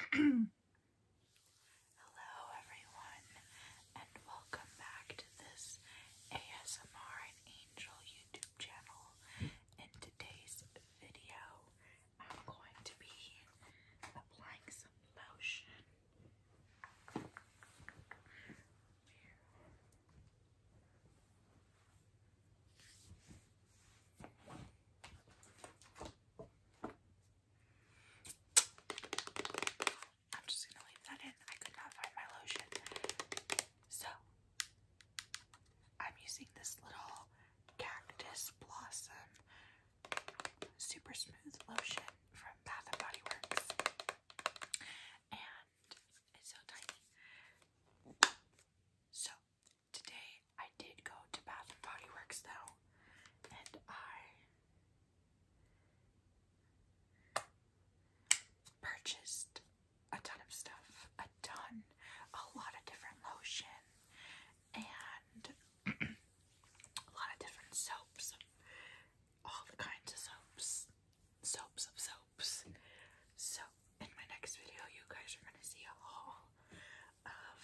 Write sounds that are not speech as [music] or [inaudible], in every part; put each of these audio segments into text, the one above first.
[clears throat] Hello, everyone, and welcome back to this ASMR Angel YouTube channel. In today's video, I'm going to be applying some lotion. I'm just gonna leave that in. I could not find my lotion. So, I'm using this little cactus blossom super smooth lotion from Bath and Body Works. And it's so tiny. So, Today I did go to Bath and Body Works though, and I purchased a ton of stuff, a ton, a lot of different lotion and [clears throat] a lot of different soaps, all the kinds of soaps, soaps of soaps. So in my next video, you guys are gonna see a haul of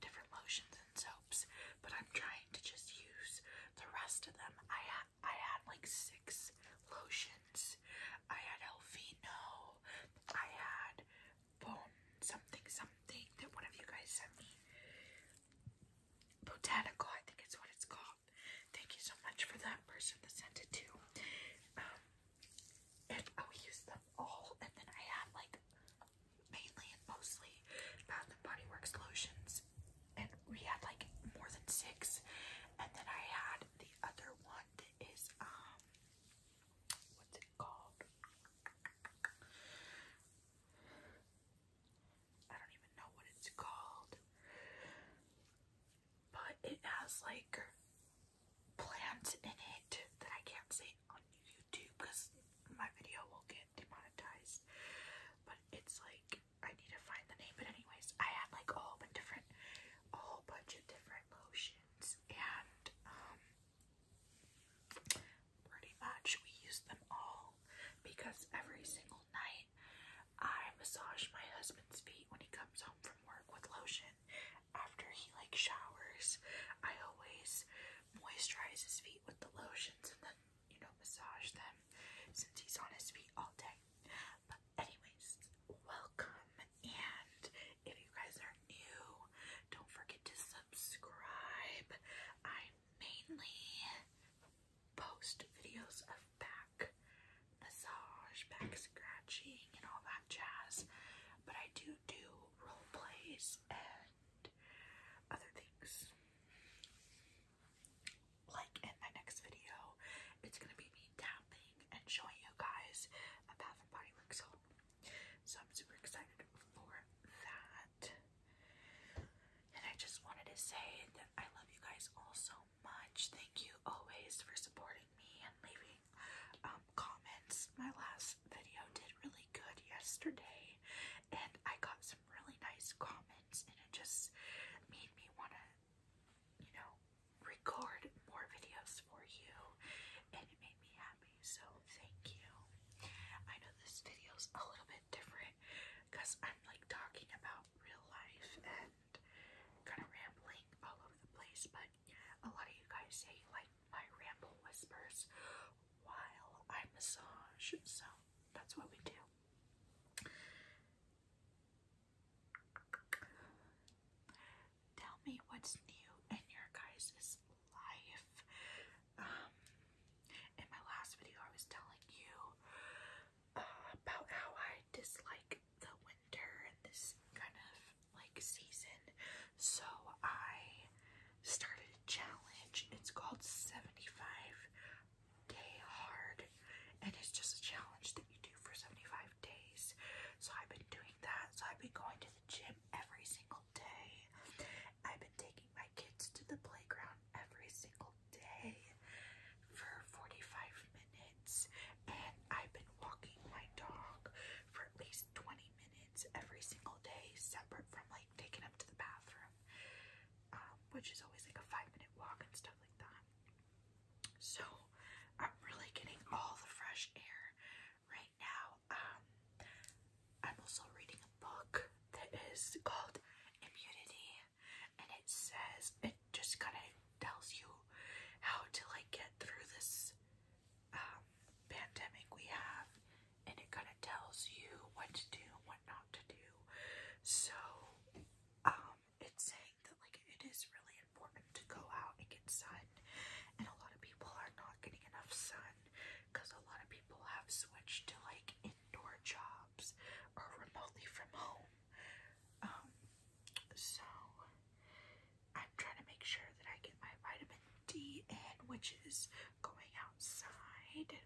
different lotions and soaps, but I'm trying to just use the rest of them. I had I had like six lotions. I had Elfino. I had bone something something that one of you guys sent me. Botanical, I think it's what it's called. Thank you so much for that person that sent it to. Um, and I would them all. And then I had like mainly and mostly Bath and Body Works lotions, and we had like more than six. And then I had the other one that is um, what's it called? I don't even know what it's called, but it has like plants in it that I can't say on YouTube because my video will get demonetized. But it's like I need to find the name. But anyways, I had like a whole bunch different, a whole bunch of different lotions, and um, pretty much we used them all because every single night I massage my husband's feet when he comes home from work with lotion, after he like showers, I always moisturize his feet with the lotions and then, you know, massage them since he's on his feet all day. But anyways, welcome and if you guys are new, don't forget to subscribe. I mainly post videos of back massage, back scratching and all that jazz. But I do do role plays and other things. Like in my next video, it's gonna be me tapping and showing you guys a Bath and Body Works haul. So I'm super excited for that. And I just wanted to say that I love you guys all so much. Thank you always for supporting me and leaving um, comments. My last video did really good yesterday, and I got some really nice comments, and it just made me want to, you know, record more videos for you, and it made me happy. So, thank you. I know this video's a little bit different because I'm like talking about real life and kind of rambling all over the place, but but a lot of you guys say like my ramble whispers while I massage, so that's what we do. Tell me what's new in your guys' life. Um, in my last video, I was telling you uh, about how I dislike the winter and this kind of like season. So I started a challenge. It's called 75 Day Hard. And it's just a challenge that you do for 75 days. So I've been doing that. So I've been going to the gym every single day. I've been taking my kids to the playground every single day for 45 minutes. And I've been walking my dog for at least 20 minutes every single day, separate from like taking him to the bathroom, um, which is always like a five minute walk and stuff like that. So I'm really getting all the fresh air right now. Um, I'm also reading a book that is called Immunity, and it says it just kind of tells you how to like get through this um, pandemic we have, and it kind of tells you what to do and what not to do. So, um, it's saying that like it is really important to go out and get sun, and a lot of people are not getting enough sun because a lot of people have switched to like indoor jobs or remotely from home. Um, so I'm trying to make sure that I get my vitamin D and which is going outside.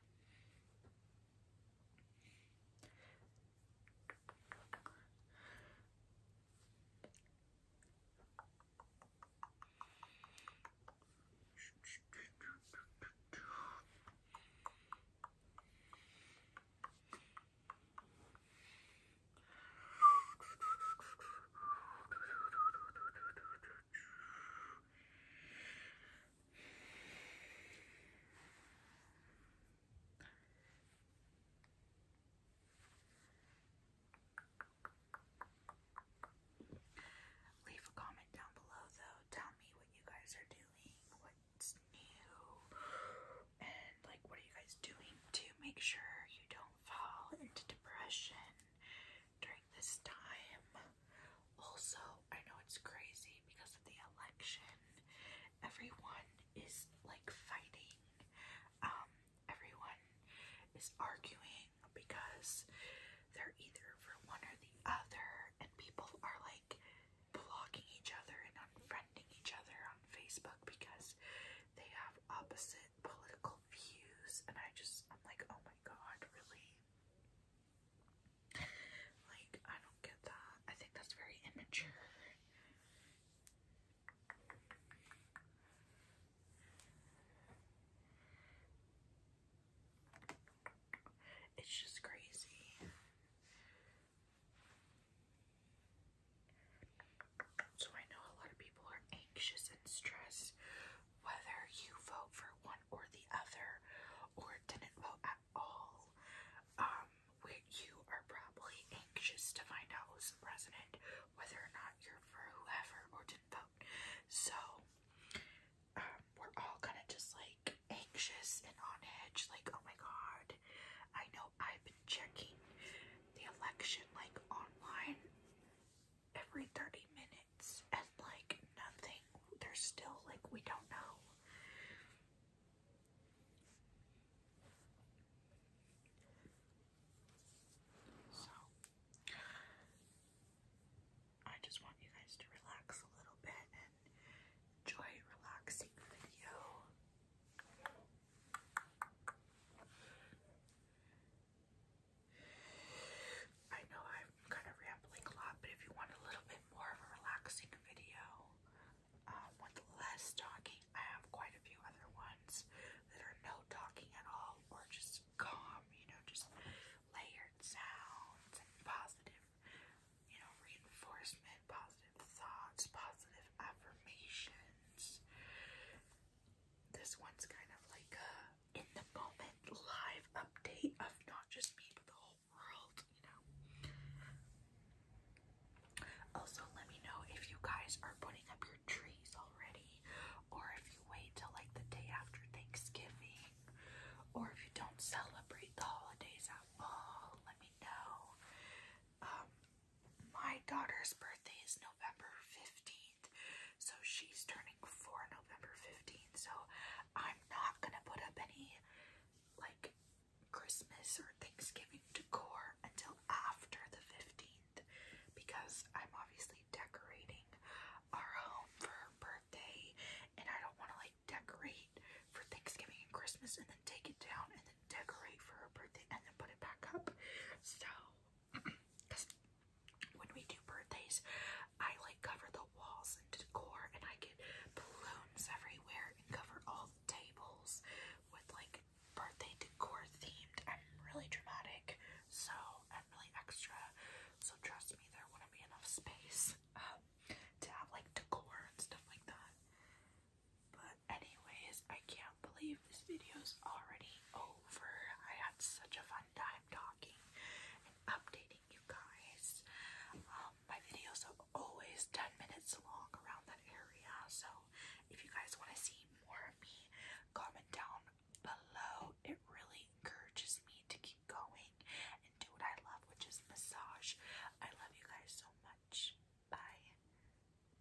Leave a comment down below, though. Tell me what you guys are doing, what's new, and like what are you guys doing to make sure you don't fall into depression during this time. Also, I know it's crazy because of the election. Everyone is like fighting. Um, everyone is arguing because they're either for one or the other, and people are like blocking each other and unfriending each other on Facebook because they have opposite political views, and I just, I'm like, oh my god, really? Like, I don't get that. I think that's very immature. It's just crazy. So I know a lot of people are anxious and stressed whether you vote for one or the other or didn't vote at all. Um, you are probably anxious to find out who's the president, whether or not you're for whoever or didn't vote. So um, we're all kind of just like anxious and on edge, like, oh my god, I know I've been checking the election like online every 30 minutes and like nothing. There's still like we don't know. So I just want you guys to relax a little bit and enjoy relaxing video. I know I'm kind of rambling a lot, but if you want a little bit more of a relaxing video um, with less talking, I have quite a few other ones that are no talking at all or just calm, you know, just layered sounds and positive, you know, reinforcement, positive thoughts, positive affirmations. This one's kind of like a in the moment live update of not just me but the whole world, you know. Also, let me know if you guys are putting up your trees already, or if you wait till like the day after Thanksgiving, or if you don't celebrate the holidays at all. Let me know. Um, my daughter's birthday is November 15th, so she's turning 4 November 15th, so I'm not gonna put up any like Christmas or Thanksgiving decor until after the 15th because I'm obviously decorating our home for her birthday and I don't want to like decorate for Thanksgiving and Christmas and then take it down and then decorate for her birthday and then put it back up. So when we do birthdays, I like cover the walls and decor, and I get balloons everywhere and cover all the tables with like birthday decor themed. I'm really dramatic, so I'm really extra. So trust me, there wouldn't be enough space um, to have like decor and stuff like that. But anyways, I can't believe this video is already over. I had such a fun time talking and updating you guys. Um, my videos are always 10 minutes long around that area, so if you guys want to see more of me, comment down below. It really encourages me to keep going and do what I love, which is massage. I love you guys so much. Bye.